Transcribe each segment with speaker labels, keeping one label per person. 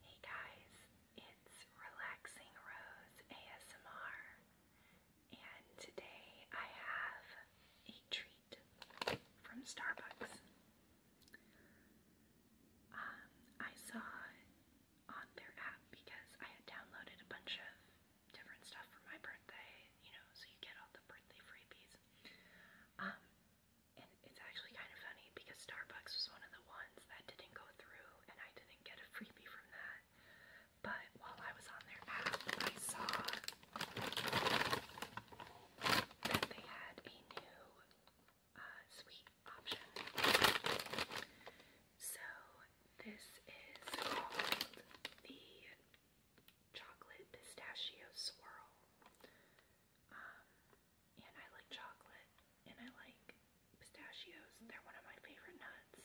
Speaker 1: Hey guys, it's Relaxing Rose ASMR, and today I have a treat from Starbucks. Um, I saw on their app because I had downloaded a bunch of different stuff for my birthday, you know, so you get all the birthday freebies. Um, and it's actually kind of funny because Starbucks was one of the ones that didn't go through and I didn't get a freebie from that. But while I was on their app, I saw that they had a new uh, sweet option. So this is called the Chocolate Pistachio Swirl. Um, and I like chocolate and I like pistachios. They're one of my favorite nuts.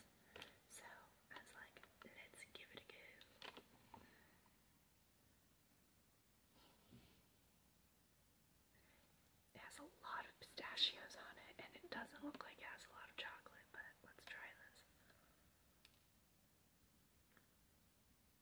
Speaker 1: So I was like, let's give it a go. It has a lot of pistachios on it, and it doesn't look like it has a lot of chocolate, but let's try this.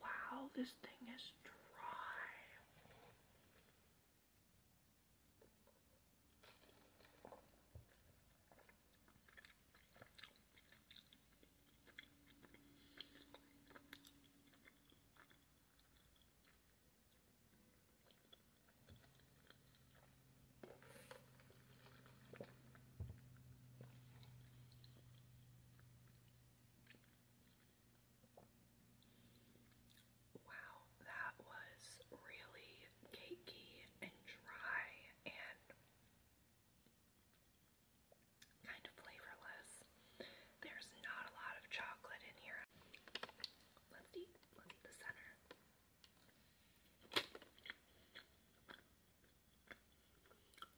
Speaker 1: Wow, this thing is dry. Wow, that was really cakey and dry and kind of flavorless. There's not a lot of chocolate in here. Let's eat, let's eat the center.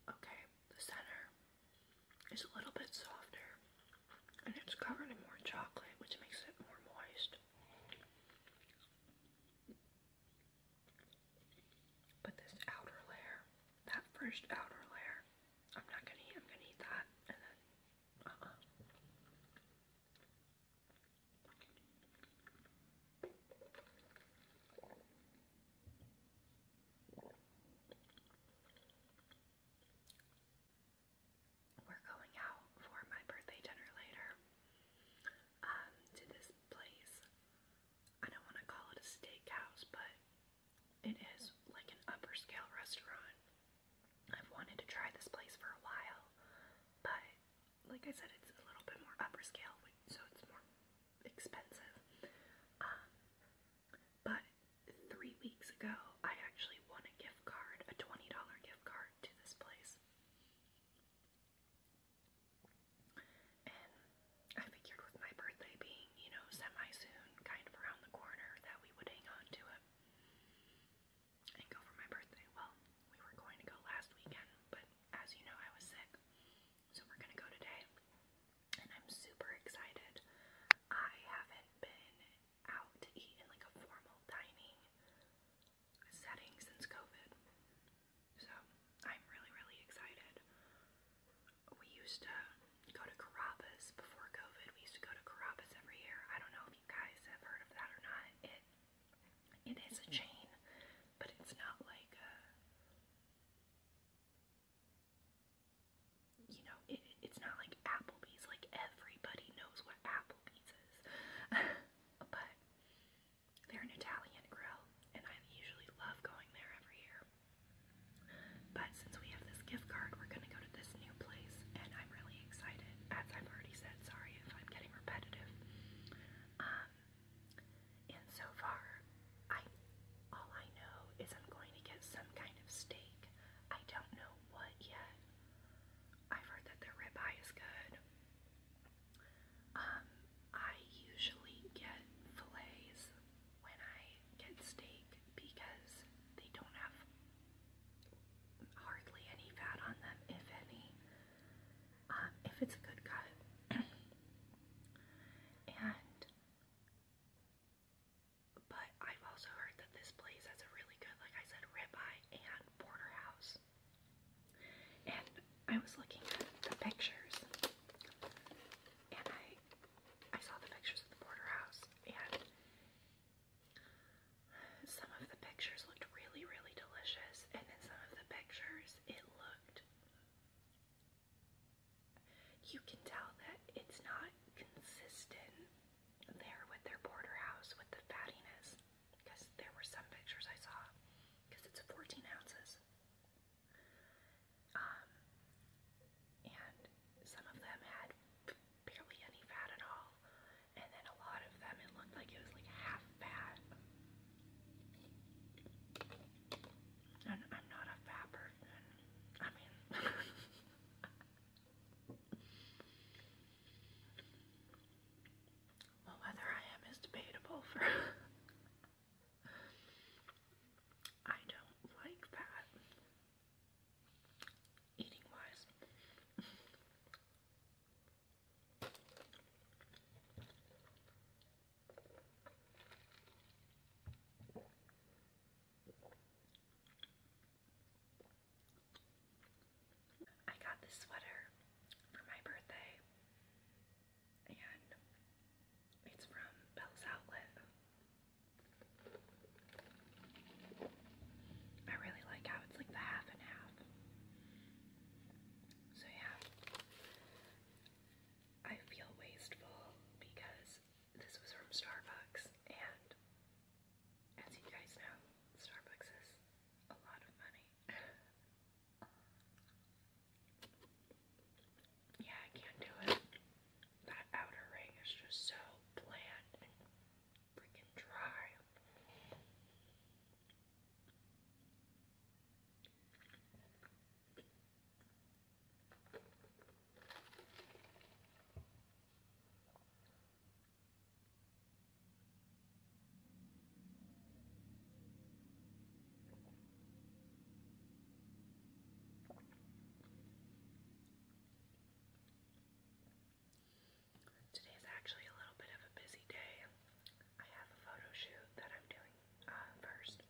Speaker 1: Okay, the center is a little bit softer and it's covered in more chocolate, which makes it more moist. But this outer layer, that first outer layer, I'm not gonna eat, I'm gonna eat that, and then, uh-uh. We're going out for my birthday dinner later um, to this place. I don't want to call it a steakhouse, but it is like an upper scale restaurant. I've wanted to try this place for a while, but like I said, it's a little bit more upper scale, so it's more expensive. Um, but three weeks ago, I actually won a gift card, a $20 gift card to this place. And I figured with my birthday being, you know, semi-soon, kind of around the corner, that we would hang on to it and go for my birthday. Well, we were going to go last weekend, but as you know, I was sick. So we're gonna go today, and I'm super excited. I haven't been out to eat in like a formal dining setting since COVID. So I'm really, really excited. We used to go to Carrabba's before COVID. We used to go to Carrabba's every year. I don't know if you guys have heard of that or not. It is a chain, but it's not like a. You know, it's not like Applebee's. Like everybody knows what Applebee's is, but they're an Italian grill, and I usually love going there every year. But since we have this gift card, we're gonna go to this new place, and I'm really excited. As I've already said, sorry if I'm getting repetitive. Um, and so far, I all I know is I'm going to get some kind of steak. I don't know what yet. I've heard that the ribeye is good. Um, I usually get fillets when I get steak because they don't have hardly any fat on them, if any. Uh, if it's a good cut. and but I've also heard that this place has a really good, like I said, ribeye and porterhouse. And I was looking at the pictures, and I I saw the pictures of the porterhouse, and some of the pictures looked really, really delicious, and then some of the pictures, it looked. You can tell that it's not consistent there with their border house with the fattiness, because there were some pictures I saw, because it's 14 ounces. Um, and some of them had barely any fat at all. And then a lot of them, it looked like it was like half fat. And I'm not a fat person. I mean, well, whether I am is debatable for. I don't like that eating wise. I got this sweater for my birthday, and it's from Bell's Outlet. I really like how it's like the half and half. So yeah, I feel wasteful because this was from Starbucks and as you guys know, Starbucks is a lot of money. yeah, I can't do it that outer ring is just so bland and freaking dry. Today's actually a little bit of a busy day. I have a photo shoot that I'm doing uh, first.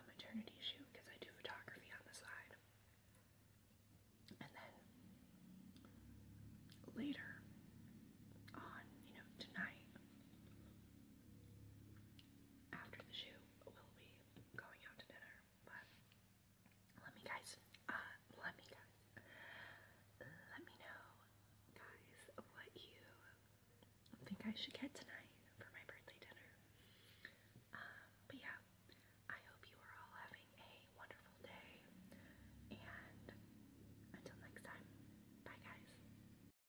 Speaker 1: A maternity shoot because I do photography on the side. And then later on, you know, tonight, after the shoot, will be going out to dinner, but let me guys, uh, let me guys, let me know, guys, what you think I should get tonight for my birthday dinner. Um, but yeah, I hope you are all having a wonderful day, and until next time, bye guys.